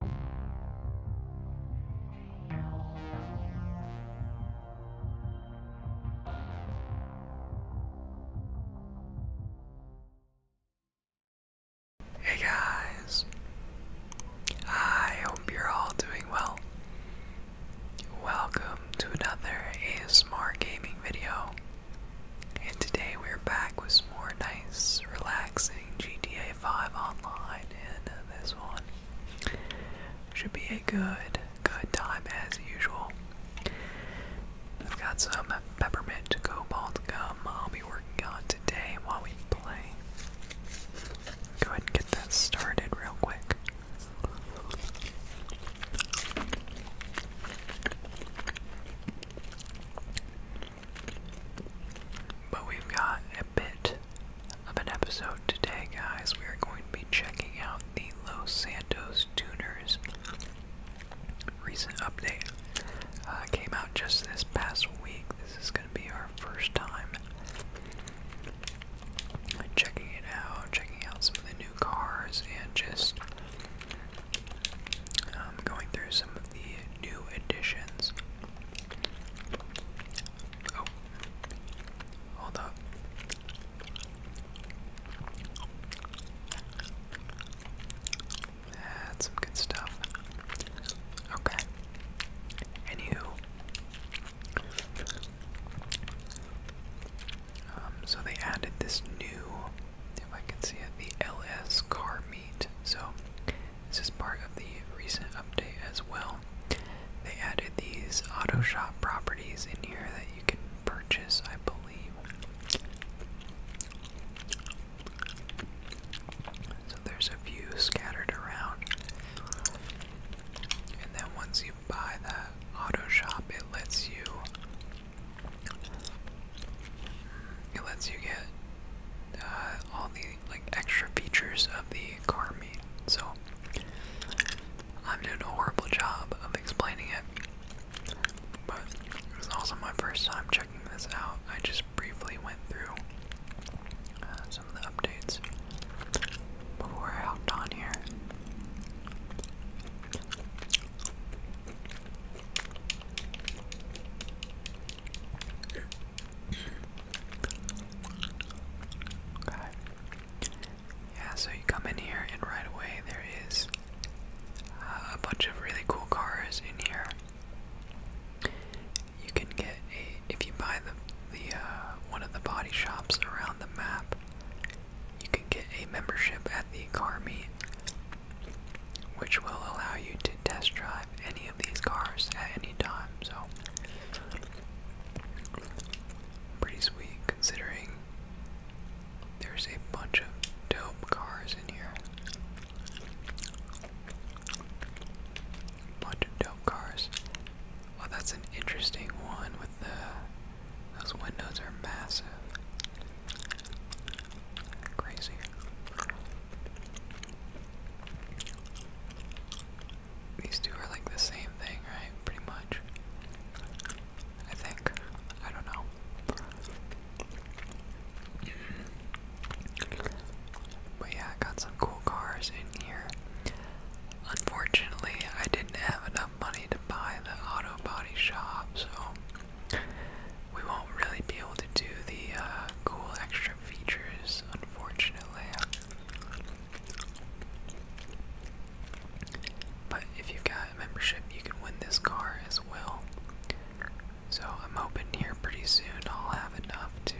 Hey guys, I hope you're all doing well. Welcome to another ASMR gaming video, and today we're back with more nice, relaxing GTA five online in this one. Should be a good, good time as usual. I've got some peppermint cobalt gum I'll be working on today while we play. Go ahead and get that started real quick. But we've got a bit of an episode today, guys. We are going to be checking out the Los Santos Tuners. Recent update uh, came out just this past week. This is going to be our first time checking it out, checking out some of the new cars, and just um, going through some of the new additions. Oh, hold up. That's good stuff. Okay. Anywho. Um, so they added this new, if I can see it, the LS car meet. So this is part of the recent update as well. They added these auto shop properties in here that you can purchase, I believe. So there's a few scattered around. And then once you buy that auto shop, it lets you it lets you get uh, all the like extra features of the car meet. So I'm doing a horrible job of explaining it, but it was also my first time checking this out. I just briefly went through uh, some of the updates before I hopped on here. Okay. Yeah, so you come in here, and right away there is uh, a bunch of really cool cars in here. You can get a if you buy the the uh, one of the body shops around the map. You can get a membership at the car meet which will allow you to test drive any of these cars at any time. So, pretty sweet considering there's a bunch of dope cars in here. Bunch of dope cars. Oh, that's an interesting one with the. Those windows are massive. Crazy. These two are like the same thing, right? Pretty much. I think. I don't know. But yeah, I got some cool cars in here. Unfortunately, I didn't have enough money to buy the auto body shop, so we won't really be able to do the uh, cool extra features, unfortunately. But if you've got a membership, you can win this car as well. So I'm hoping here pretty soon I'll have enough to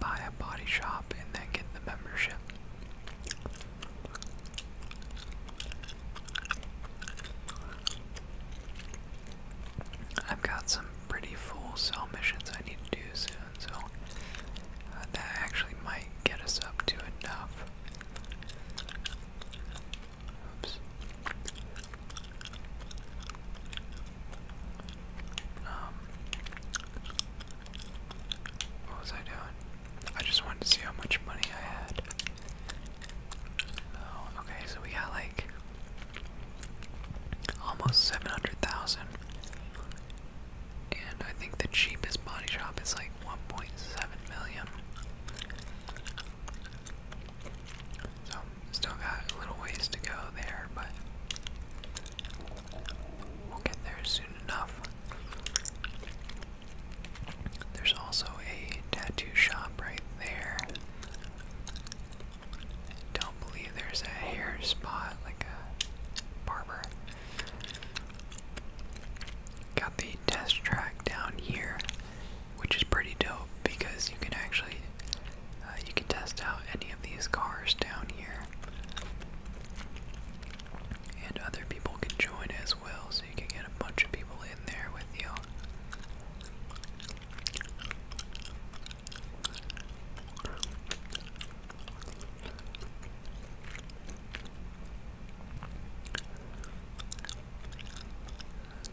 buy a body shop and then get the membership. I've got some pretty full cell missions I need to do soon, so uh, that actually might get us up to enough. Oops. Um, what was I doing? I just wanted to see how much money I had. Oh, okay, so we got like almost 700,000. And I think the cheapest body shop is like 1.7 million. So, still got a little ways to go there, but we'll get there soon enough. There's also a tattoo shop right there. don't believe there's a hair spot, like a barber. Got the test track down here, which is pretty dope because you can actually uh, you can test out any of these cars down here, and other people can join as so you can get a bunch of people in there with you.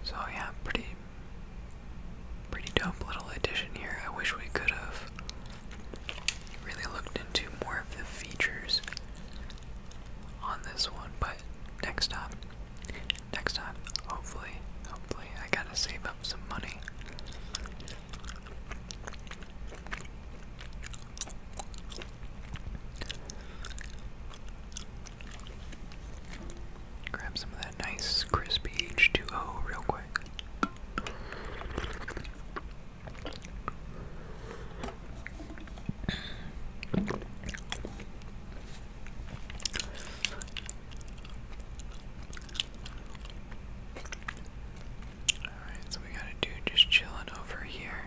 So yeah, pretty pretty dope little addition here. I wish we could have really looked into more of the features on this one, but next time, next time, hopefully, hopefully, I gotta save up some money. Grab some of that nice crispy H2O real quick so we got a dude just chilling over here.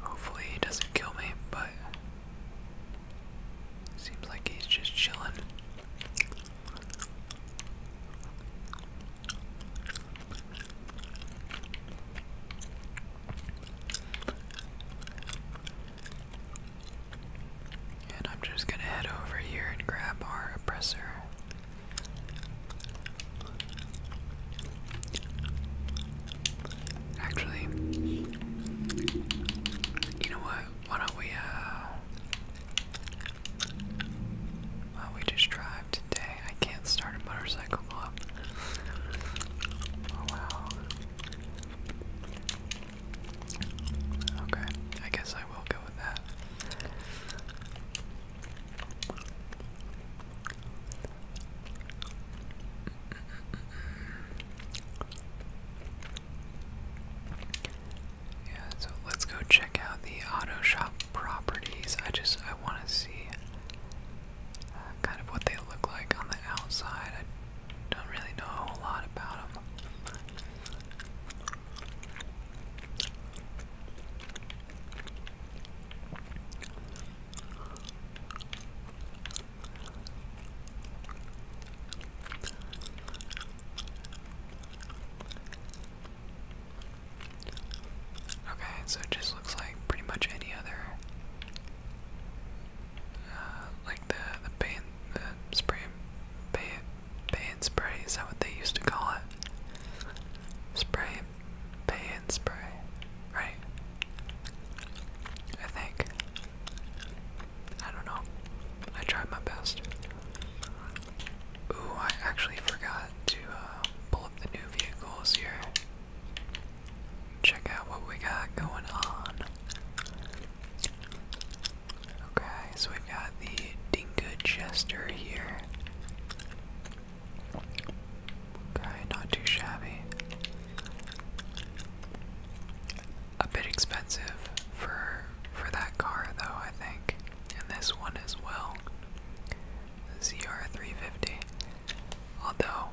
Hopefully he doesn't kill me, but seems like he's just chilling. And I'm just gonna head over here and grab our oppressor. Actually, you know what? Why don't we, uh, Wow, we just drive today. I can't start a motorcycle club. Oh wow. Okay, I guess I will go with that. Yeah, so let's go check out the auto shop properties. I just I want to see uh, kind of what they look like on the outside. I don't really know a lot about them. Okay, so it just looks like pretty much any other, uh, like the the paint, the spray, paint, paint spray. Is that what they used to call it? Spray, paint spray, right? I think. I don't know. I tried my best. Ooh, I actually forgot to uh, pull up the new vehicles here. Check out what we got going on. Okay, so we got the Dinka Jester here. Okay, not too shabby. A bit expensive for for that car though, I think and this one as well. the ZR350. Although,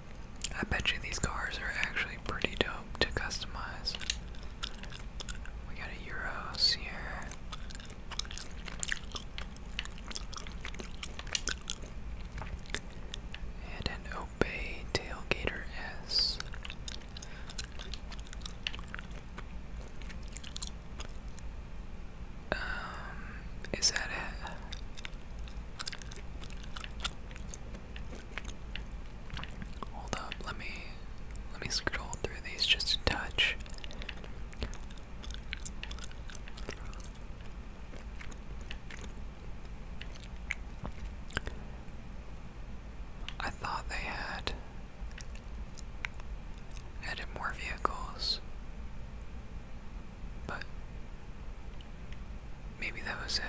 I bet you these cars are actually pretty dope to customize. We got a Euros here. And an Obey Tailgater S. Um, is that it? Hold up, let me let me scroll through these just a touch. I thought they had added more vehicles, but maybe that was it.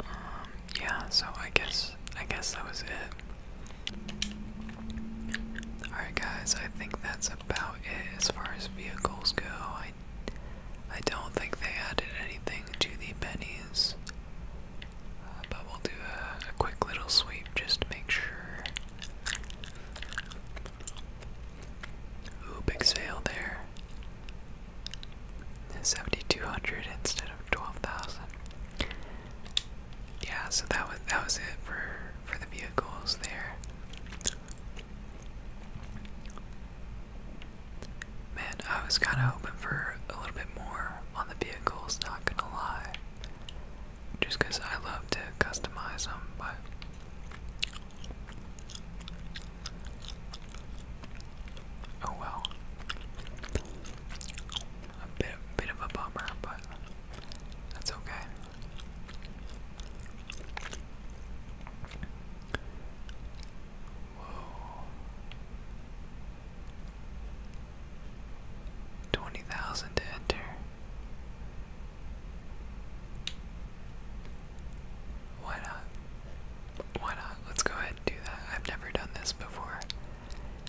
Um, yeah, so I guess I guess that was it. Alright guys, I think that's about it as far as vehicles go. I I don't think they added anything to the pennies, uh, but we'll do a, a quick little sweep just to make sure. Ooh, big sale there. 7,200 instead of 12,000. Yeah, so that was that was it for for the vehicles there. Man, I was kind of hoping for a little bit more on the vehicles, not gonna lie. Just because I love to customize them, but. Oh well. A bit, bit of a bummer, but that's okay. Whoa. 20,000 to enter. Why not? Why not? Let's go ahead and do that. I've never done this before.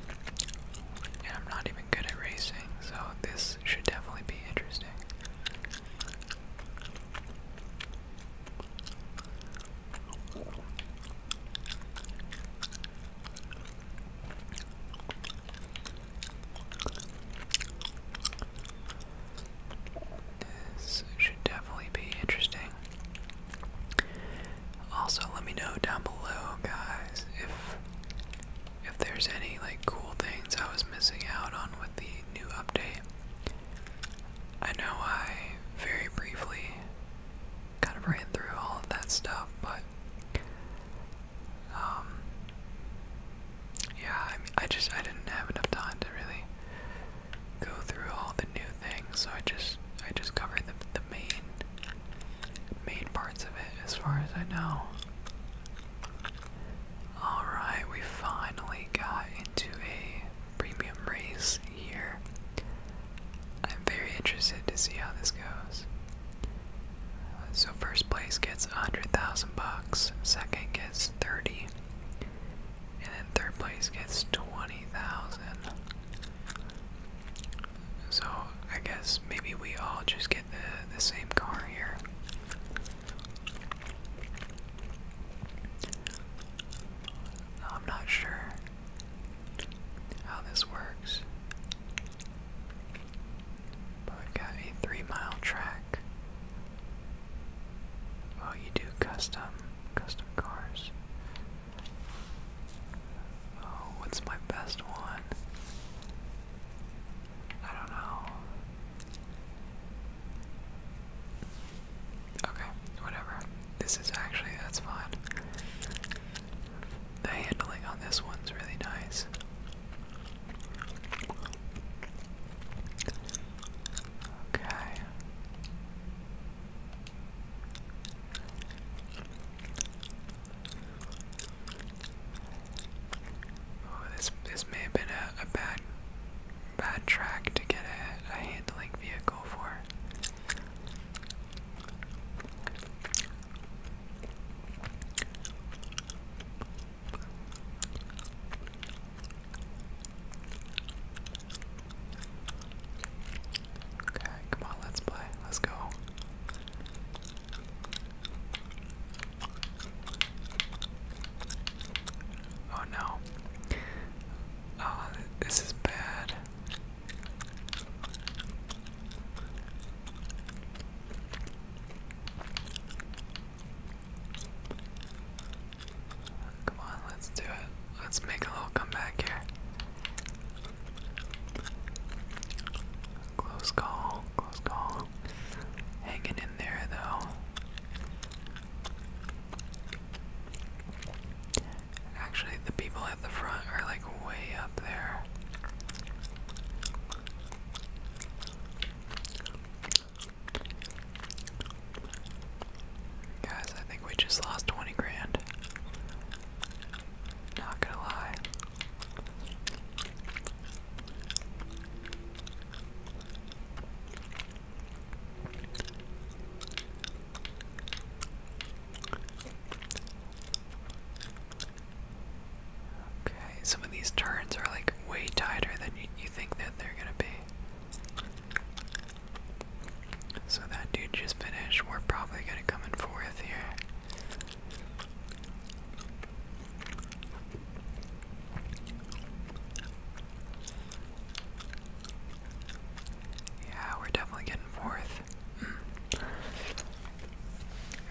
And I'm not even good at racing, so this should definitely be interesting. This should definitely be interesting. Also, let me know down below, guys, if if there's any like cool things I was missing out on with the new update. I know I very briefly kind of ran through all of that stuff, but um, yeah, I, mean, I just I didn't have enough time to really go through all the new things, so I just I just covered the the main main parts of it as far as I know. Alright, we finally got into a premium race here. I'm very interested to see how this goes. Uh, so first place gets a hundred thousand bucks, second gets thirty, and then third place gets twenty thousand. So I guess maybe we all just get the the same car here. Oh, I'm not sure how this works. But we've got a three mile track. Well, oh, you do custom, custom cars. Oh, what's my best one? I don't know. Okay, whatever. This is actually, that's fine. The handling on this one's really nice. Okay. Oh, this this may have been a, bad bad track to get a, handling vehicle for. Okay, come on, let's play. Let's go. Oh no. Oh, this is bad. Come on, let's do it. Let's make a little comeback here. Close call, close call. Hanging in there though. Actually, the people at the front are like way up there. Guys, I think we just lost 20 grand. Not gonna lie. Okay, some of these turns are like way tighter than you, think that they're gonna be. So that dude just finished. We're probably gonna come in fourth here. Yeah, we're definitely getting fourth. Mm.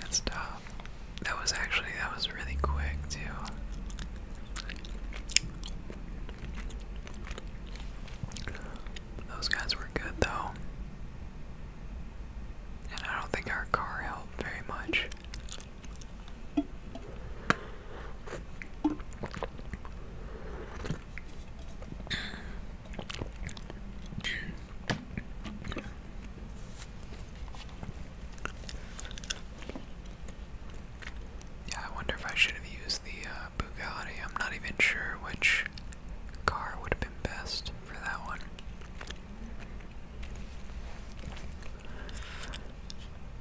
That's That was actually, that was really quick, too. Those guys were good, though. And I don't think our car helped very much. Yeah, I wonder if I should have used the uh, Bugatti. I'm not even sure which car would have been best for that one.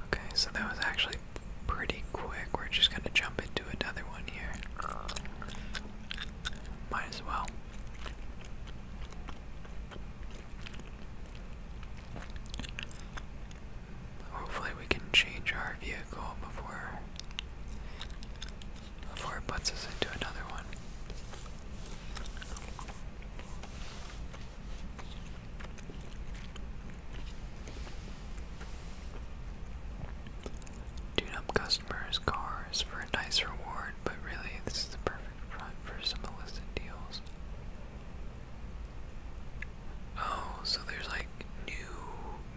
Okay, so that was actually pretty quick. We're just gonna jump into another one here. Might as well. Hopefully we can change our vehicle before before it puts us into another one. Tune up customers' cars for a nice reward, but really, this is the perfect front for some illicit deals. Oh, so there's like new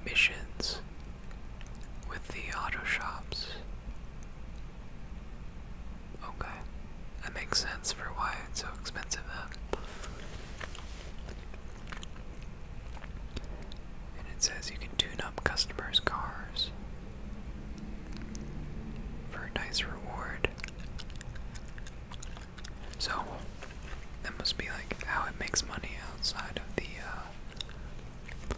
missions with the auto shops. Okay, that makes sense for why it's so expensive then. And it says you can tune up customers' cars for a nice reward. So, that must be like how it makes money outside of the uh,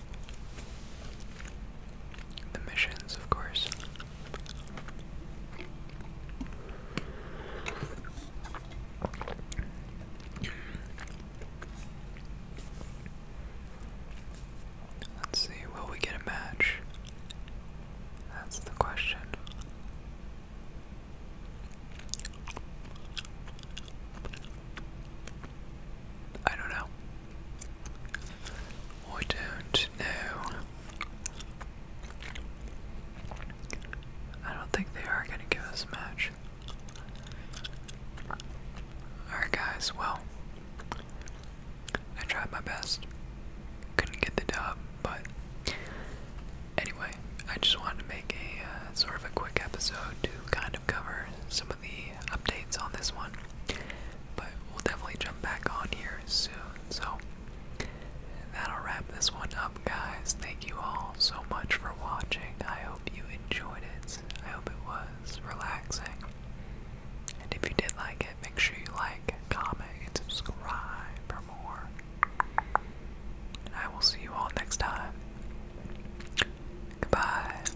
the missions, of course. Let's see, will we get a match? That's the question. I don't know. I don't know. I don't think they are going to give us a match. Alright, guys, well, I tried my best. Couldn't get the dub, but anyway, I just wanted to make a uh, sort of a quick episode to kind of cover some of the updates on this one. But we'll definitely jump back on here soon. So that'll wrap this one up, guys. Thank you all so much for watching. I hope you enjoyed it. I hope it was relaxing. And if you did like it, make sure you like, comment, and subscribe for more. I will see you all next time. Goodbye.